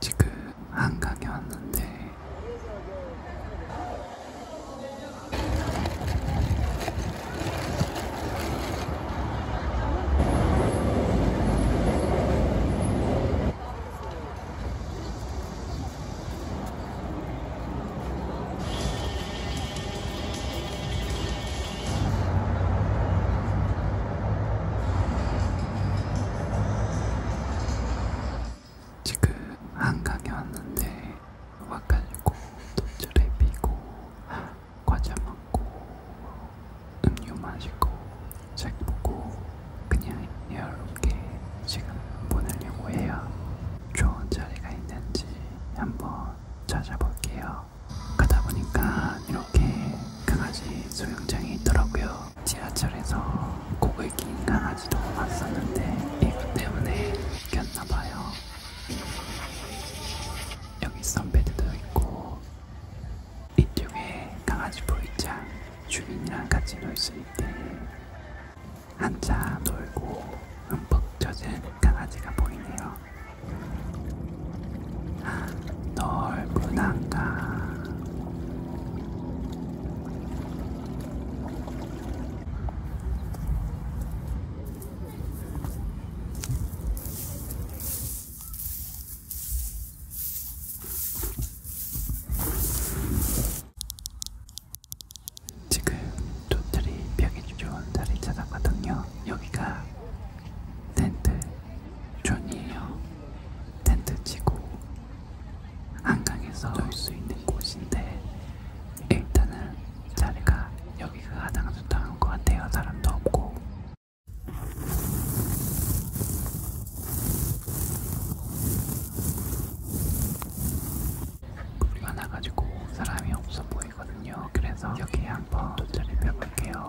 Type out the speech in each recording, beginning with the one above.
지금 한강에 왔는데 지금 한강에 왔는데 음악 깔리고 돗자리 피고 과자 먹고 음료 마시고 책 보고 그냥 여유롭게 지금 보내려고 해요. 좋은 자리가 있는지 한번 찾아볼게요. 가다 보니까 이렇게 강아지 소용장이 있더라고요. 지하철에서 곡을 낀 강아지도 봤었는데 이것 때문에 꼈나봐요. 여기 선베드도 있고 이쪽에 강아지 보이자 주인이랑 같이 놀수 있게 한참 놀고 흠뻑 젖은 강아지가 보이네요. 아, 넓은 한강 지금 조들이 벽이 좋은 자리 찾아가거든요. 여기가 텐트 존이에요. 텐트 치고 한강에서 놀수 있는 곳인데 일단은 자리가 여기가 가장 좋다는 것 같아요. 사람도 없고. 우리가 나가지고 사람이 없어 보이거든요. 그래서 여기 한번 도착해 볼게요.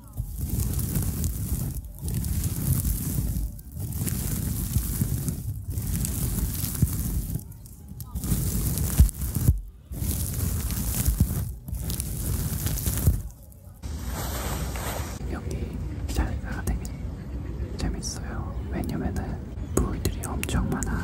여기 자리가 되게 재밌어요. 왜냐면은 물들이 엄청 많아.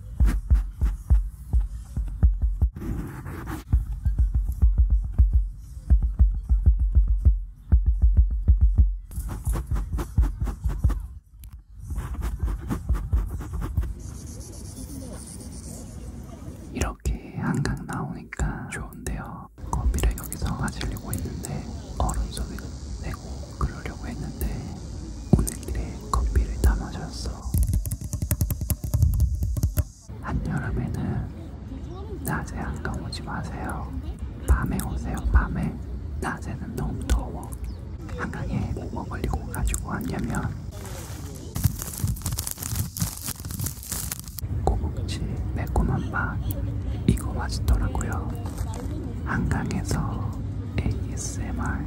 이렇게 한강 나오니까 좋은데요. 커피를 여기서 마시려고 있는데 얼음 속에 내 빼고 그러려고 했는데 오늘 길에 커피를 다 마셨어. 한여름에는 낮에 한강 오지 마세요. 밤에 오세요, 밤에. 낮에는 너무 더워. 한강에 뭐뭐 걸리고 가지고 왔냐면 꼬북치 매콤한 맛 이거 맛있더라고요. 한강에서 ASMR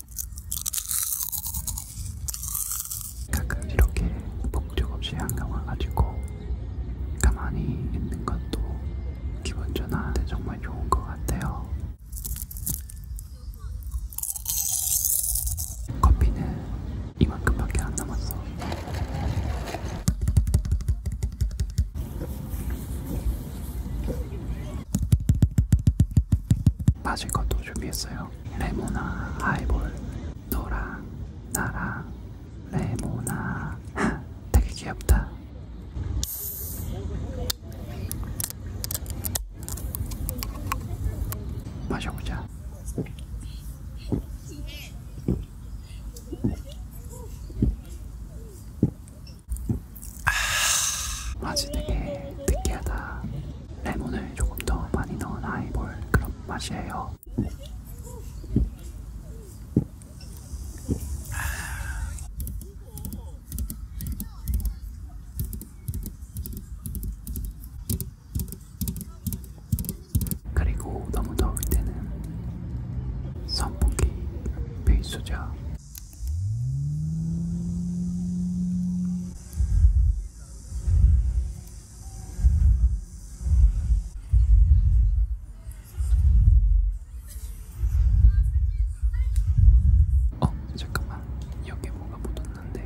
가끔 이렇게 목적 없이 한강 와가지고 가만히 있는 것도 기분 전환에 정말 좋은 것 같아요. 커피는 이만큼밖에 안 남았어. 마실 것도 준비했어요. 레모나 하이볼 너랑 나랑 레모나 되게 귀엽다. 마셔보자. 아, 아주 되게 느끼하다. 레몬을 조금 더 많이 넣은 하이볼 그런 맛이에요. 그리고 너무 더울 때는 선풍기 필수죠. 어, 잠깐만. 여기 뭐가 묻었는데.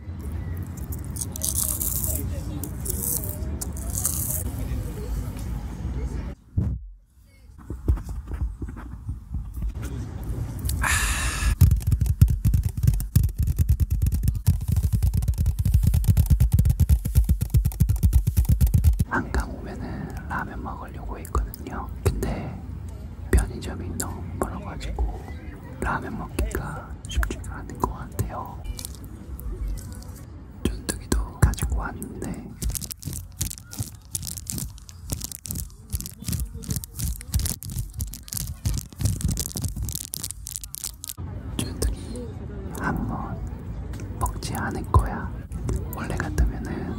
한강 아. 오면은 라면 먹으려고 했거든요. 근데 편의점이 너무 멀어가지고 라면 먹기가 쉽지가 않은 것 같아요. 전투기도 가지고 왔는데 전투기 한번 먹지 않을 거야. 원래 같으면은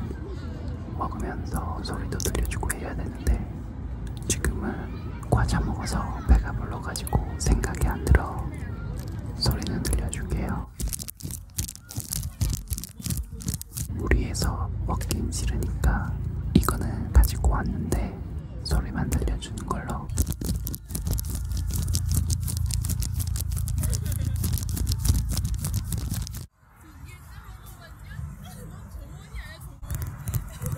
먹으면서 소리도 들려주고 해야 되는데 지금은 과자 먹어서 배가 불러가지고 생각이 안 들어. 소리는 들려줄게요. 무리해서 먹긴 싫으니까 이거는 가지고 왔는데 소리만 들려주는 걸로.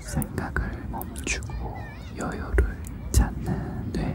생각을 멈추고 여유를 찾는 뇌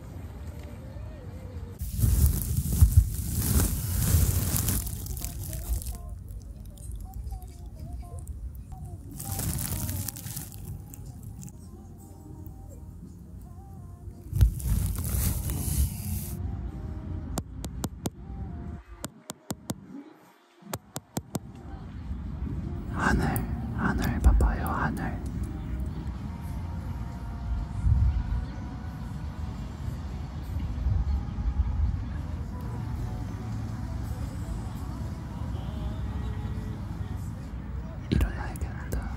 하늘, 하늘 봐봐요, 하늘. 일어나야겠다.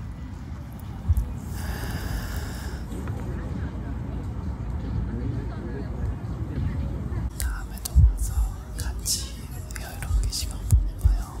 다음에도 와서 같이 여유롭게 시간 보내봐요.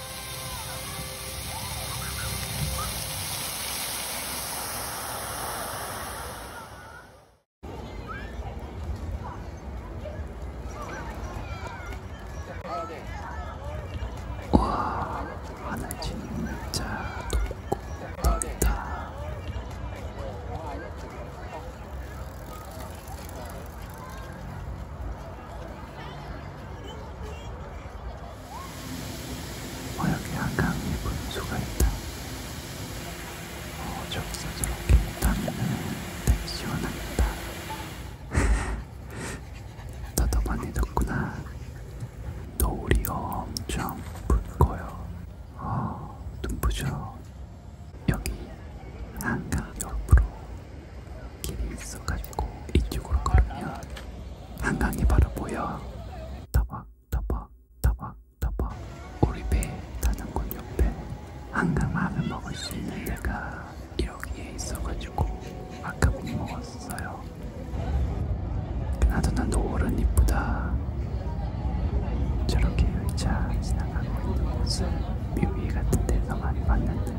와 하늘 진짜 덥고 덥다 화역의 한강에 분수가 있다. 어, 저기서 저렇게 타면은 시원합니다. 너도 많이 덥구나. 노을이 엄청 붉고요. 어, 눈부셔. 여기 한강 옆으로 길이 있어가지고 이쪽으로 걸으면 한강이 바로 보여. 터벅 터벅 터벅 터벅 우리 배 타는군 옆에 한강만을 먹을 수 있는 데가 여기에 있어가지고 아까 못 먹었어요. 그나저나 노을은 이쁘다. 저렇게 의자 지나가고 있는 모습 뮤비 같은 데서 많이 봤는데